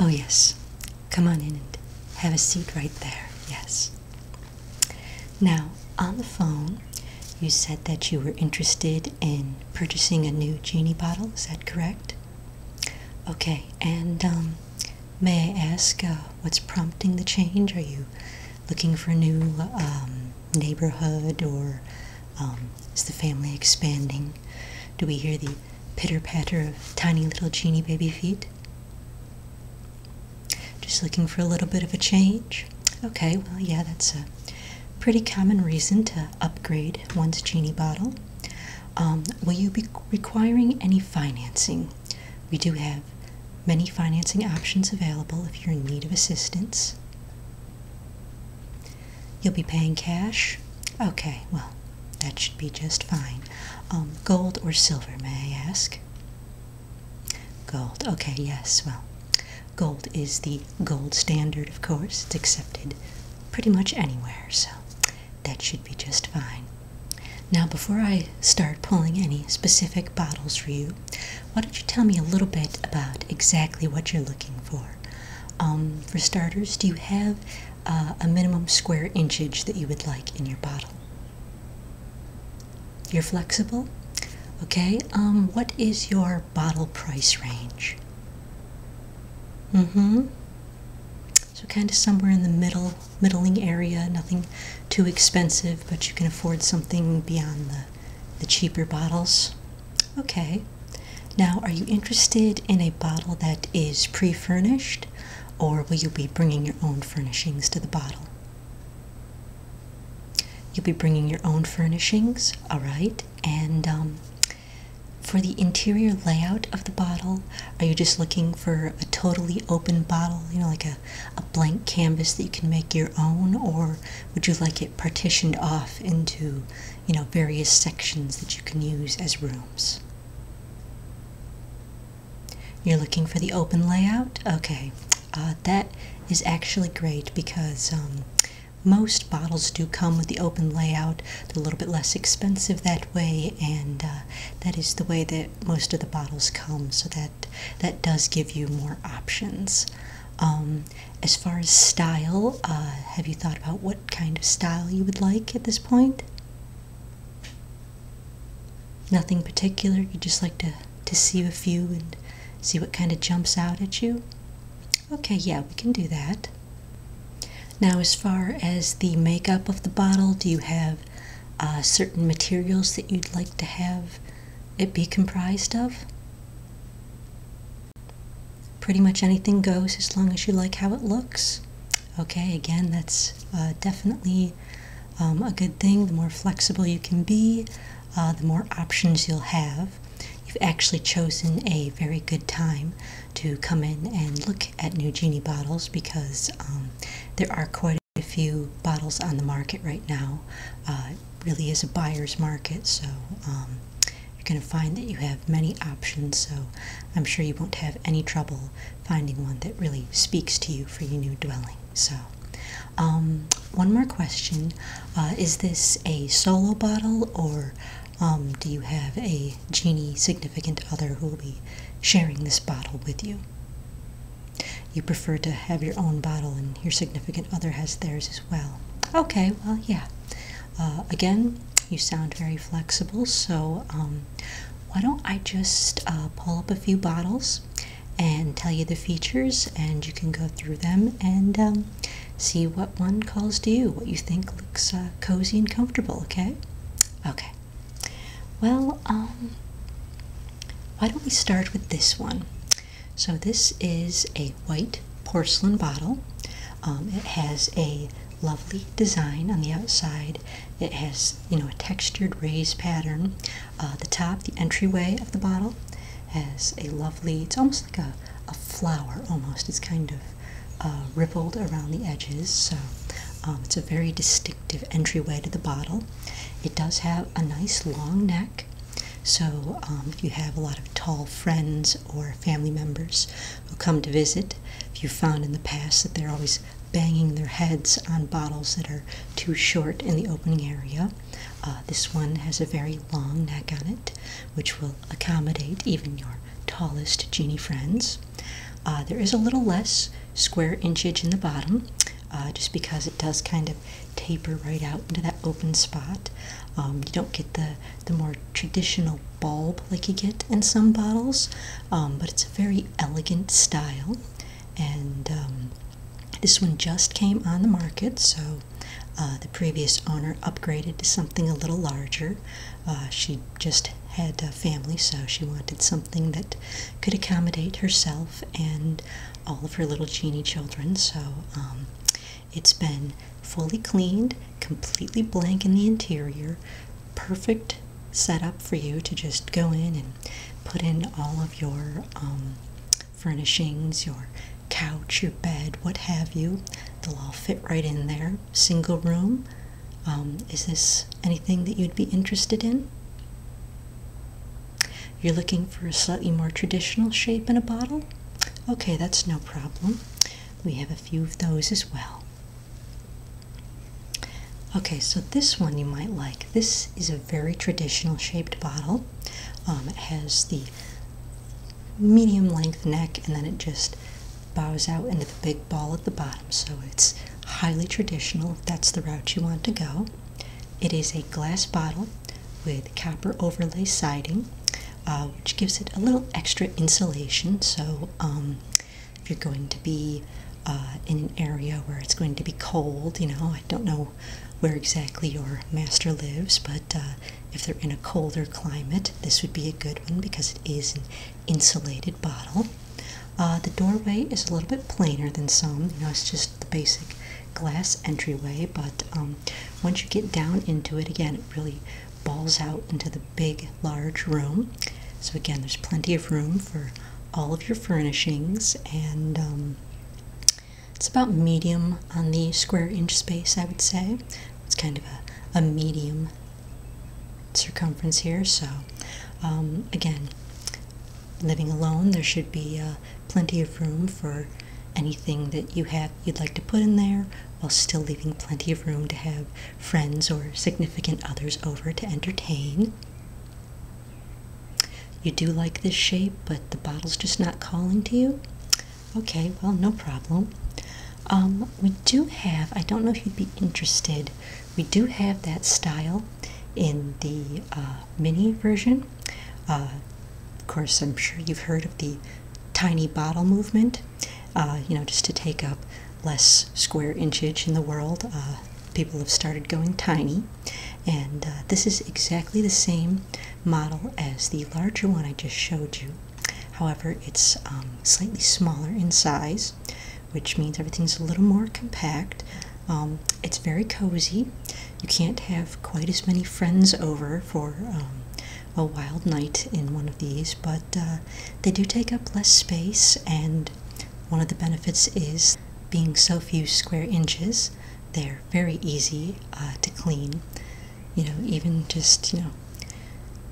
Oh, yes. Come on in and have a seat right there. Yes. Now, on the phone, you said that you were interested in purchasing a new genie bottle. Is that correct? Okay. And um, may I ask uh, what's prompting the change? Are you looking for a new um, neighborhood or um, is the family expanding? Do we hear the pitter patter of tiny little genie baby feet. Just looking for a little bit of a change. Okay, well, yeah, that's a pretty common reason to upgrade one's genie bottle. Um, will you be requiring any financing? We do have many financing options available if you're in need of assistance. You'll be paying cash? Okay, well, that should be just fine. Um, gold or silver, may I ask? Gold, okay, yes, well, gold is the gold standard, of course. It's accepted pretty much anywhere, so that should be just fine. Now, before I start pulling any specific bottles for you, why don't you tell me a little bit about exactly what you're looking for? Um, for starters, do you have uh, a minimum square inchage that you would like in your bottle? You're flexible? Okay, um, what is your bottle price range? Mm hmm. So kind of somewhere in the middle, middling area, nothing too expensive, but you can afford something beyond the, the cheaper bottles. Okay, now are you interested in a bottle that is pre furnished, or will you be bringing your own furnishings to the bottle? You'll be bringing your own furnishings, all right, and um, for the interior layout of the bottle, are you just looking for a totally open bottle, you know, like a, a blank canvas that you can make your own, or would you like it partitioned off into you know, various sections that you can use as rooms. You're looking for the open layout? Okay, uh, that is actually great because um, most bottles do come with the open layout. They're a little bit less expensive that way, and uh, that is the way that most of the bottles come, so that, that does give you more options. Um, as far as style, uh, have you thought about what kind of style you would like at this point? Nothing particular. You just like to to see a few and see what kind of jumps out at you. Okay, yeah, we can do that. Now, as far as the makeup of the bottle, do you have uh, certain materials that you'd like to have it be comprised of? Pretty much anything goes as long as you like how it looks. Okay, again, that's uh, definitely um, a good thing. The more flexible you can be, uh, the more options you'll have. You've actually chosen a very good time to come in and look at new Genie bottles because um, there are quite a few bottles on the market right now. Uh, really is a buyer's market, so um, you're going to find that you have many options. So I'm sure you won't have any trouble finding one that really speaks to you for your new dwelling. So, um, one more question uh, Is this a solo bottle, or um, do you have a genie significant other who will be sharing this bottle with you? You prefer to have your own bottle, and your significant other has theirs as well. Okay, well, yeah. Uh, again, you sound very flexible, so um, why don't I just uh, pull up a few bottles and tell you the features, and you can go through them and um, see what one calls to you, what you think looks uh, cozy and comfortable, okay? Okay. Well, um, why don't we start with this one? So this is a white porcelain bottle. Um, it has a lovely design on the outside. It has, you know, a textured raised pattern. Uh, the top, the entryway of the bottle, has a lovely. It's almost like a, a flower. Almost, it's kind of uh, rippled around the edges. So um, it's a very distinctive entryway to the bottle. It does have a nice long neck. So, um, if you have a lot of tall friends or family members who come to visit, if you found in the past that they're always banging their heads on bottles that are too short in the opening area, uh, this one has a very long neck on it, which will accommodate even your tallest genie friends. Uh, there is a little less square inchage in the bottom uh, just because it does kind of taper right out into that open spot. Um, you don't get the, the more traditional bulb like you get in some bottles, um, but it's a very elegant style. And um, this one just came on the market, so uh, the previous owner upgraded to something a little larger. Uh, she just had a family, so she wanted something that could accommodate herself and all of her little genie children. So um, it's been fully cleaned, completely blank in the interior, perfect setup for you to just go in and put in all of your um, furnishings, your couch, your bed, what have you. They'll all fit right in there. Single room. Um, is this anything that you'd be interested in? You're looking for a slightly more traditional shape in a bottle? Okay, that's no problem. We have a few of those as well. Okay, so this one you might like. This is a very traditional shaped bottle. Um, it has the medium length neck and then it just bows out into the big ball at the bottom, so it's highly traditional that's the route you want to go. It is a glass bottle with copper overlay siding, uh, which gives it a little extra insulation. So, um, if you're going to be uh, in an area where it's going to be cold, you know, I don't know where exactly your master lives, but uh, if they're in a colder climate, this would be a good one because it is an insulated bottle. Uh, the doorway is a little bit plainer than some. You know, it's just the basic glass entryway, but um, once you get down into it, again, it really balls out into the big, large room. So again, there's plenty of room for all of your furnishings, and um, it's about medium on the square inch space, I would say. It's kind of a medium circumference here. So, um, again, living alone, there should be uh, plenty of room for anything that you have you'd like to put in there, while still leaving plenty of room to have friends or significant others over to entertain. You do like this shape, but the bottle's just not calling to you. Okay, well, no problem. Um, we do have, I don't know if you'd be interested, we do have that style in the uh, mini version. Uh, of course, I'm sure you've heard of the tiny bottle movement, uh, you know, just to take up less square inchage in the world. people have started going tiny, and this is exactly the same model as the larger one I just showed you. However, it's um, slightly smaller in size, which means everything's a little more compact. Um, it's very cozy. You can't have quite as many friends over for um, a wild night in one of these, but uh, they do take up less space. And one of the benefits is being so few square inches, they're very easy uh, to clean. You know, even just you know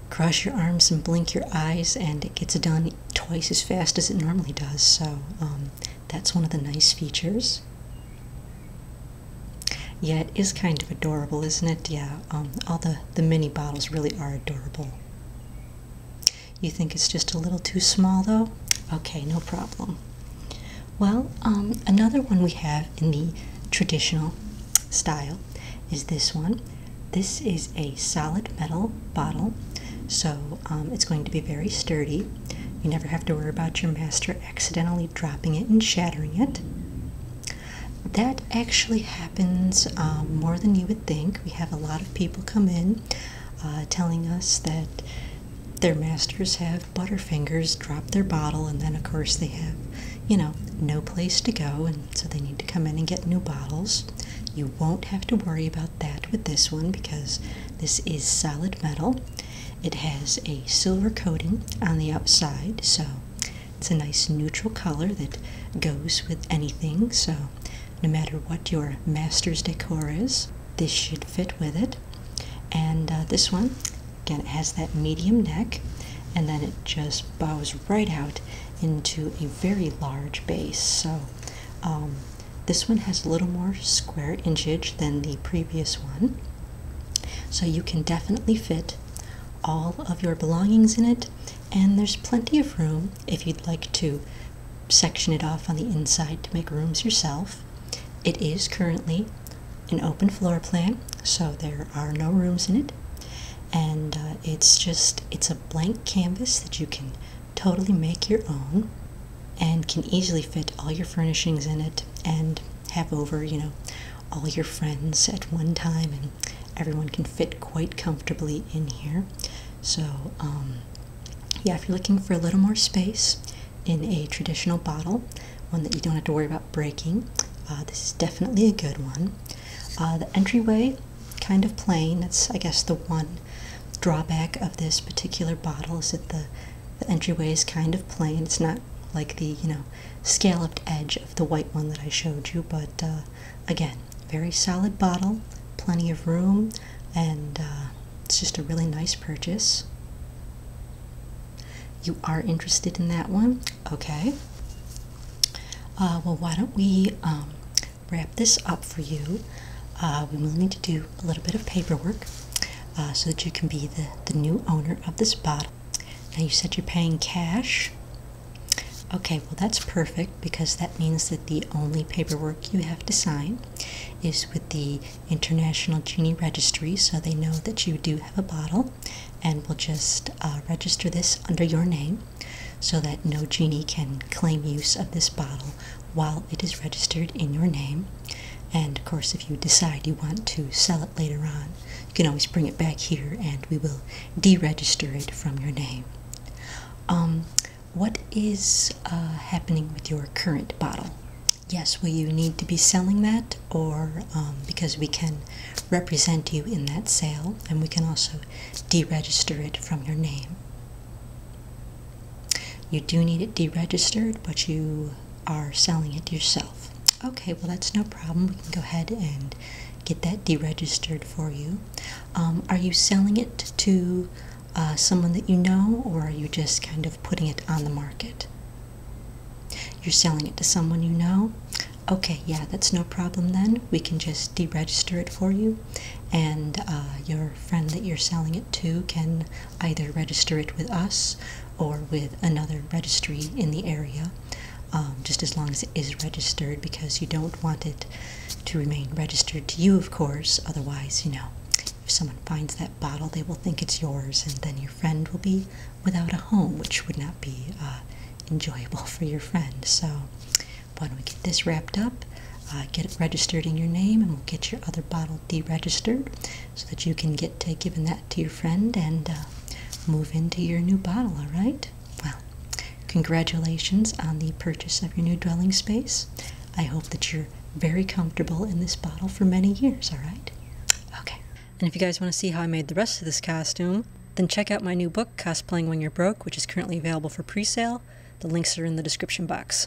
cross your arms and blink your eyes, and it gets done twice as fast as it normally does. So um, that's one of the nice features. Yeah, it is kind of adorable, isn't it? Yeah, um, all the, the mini bottles really are adorable. You think it's just a little too small though? Okay, no problem. Well, um, another one we have in the traditional style is this one. This is a solid metal bottle, so um, it's going to be very sturdy. You never have to worry about your master accidentally dropping it and shattering it. That actually happens um, more than you would think. We have a lot of people come in uh, telling us that their masters have butterfingers drop their bottle, and then, of course, they have you know, no place to go, and so they need to come in and get new bottles. You won't have to worry about that with this one because this is solid metal. It has a silver coating on the outside, so it's a nice neutral color that goes with anything. So, no matter what your master's decor is, this should fit with it. And uh, this one Again, it has that medium neck and then it just bows right out into a very large base. So um, this one has a little more square inchage than the previous one. So you can definitely fit all of your belongings in it and there's plenty of room if you'd like to section it off on the inside to make rooms yourself. It is currently an open floor plan, so there are no rooms in it, and uh, it's just it's a blank canvas that you can totally make your own and can easily fit all your furnishings in it and have over, you know, all your friends at one time and everyone can fit quite comfortably in here. So, um, yeah, if you're looking for a little more space in a traditional bottle, one that you don't have to worry about breaking. Uh, this is definitely a good one. Uh, the entryway, kind of plain. That's I guess the one drawback of this particular bottle is that the, the entryway is kind of plain. It's not like the you know scalloped edge of the white one that I showed you, but uh, again, very solid bottle, plenty of room, and uh, it's just a really nice purchase. You are interested in that one? Okay. Uh, well, why don't we um, wrap this up for you? Uh, we will need to do a little bit of paperwork uh, so that you can be the, the new owner of this bottle. Now, you said you're paying cash. Okay, well, that's perfect because that means that the only paperwork you have to sign is with the International Genie Registry so they know that you do have a bottle and we will just uh, register this under your name so that no genie can claim use of this bottle while it is registered in your name. And of course, if you decide you want to sell it later on, you can always bring it back here and we will deregister it from your name. Um, what is uh, happening with your current bottle? Yes, Well, you need to be selling that, or um, because we can represent you in that sale and we can also deregister it from your name? You do need it deregistered, but you are selling it yourself. Okay, well, that's no problem. We can go ahead and get that deregistered for you. Um, are you selling it to uh, someone that you know, or are you just kind of putting it on the market? You're selling it to someone you know? Okay, yeah, that's no problem then. We can just deregister it for you, and uh, your friend that you're selling it to can either register it with us or with another registry in the area, um, just as long as it is registered because you don't want it to remain registered to you, of course. Otherwise, you know, if someone finds that bottle, they will think it's yours, and then your friend will be without a home, which would not be uh, enjoyable for your friend. So, why don't we get this wrapped up? Uh, get it registered in your name, and we'll get your other bottle deregistered so that you can get to giving that to your friend and uh, move into your new bottle. All right. Well, congratulations on the purchase of your new dwelling space. I hope that your very comfortable in this bottle for many years, all right? Okay. And if you guys want to see how I made the rest of this costume, then check out my new book, Costuming When You're Broke, which is currently available for pre-sale. The links are in the description box.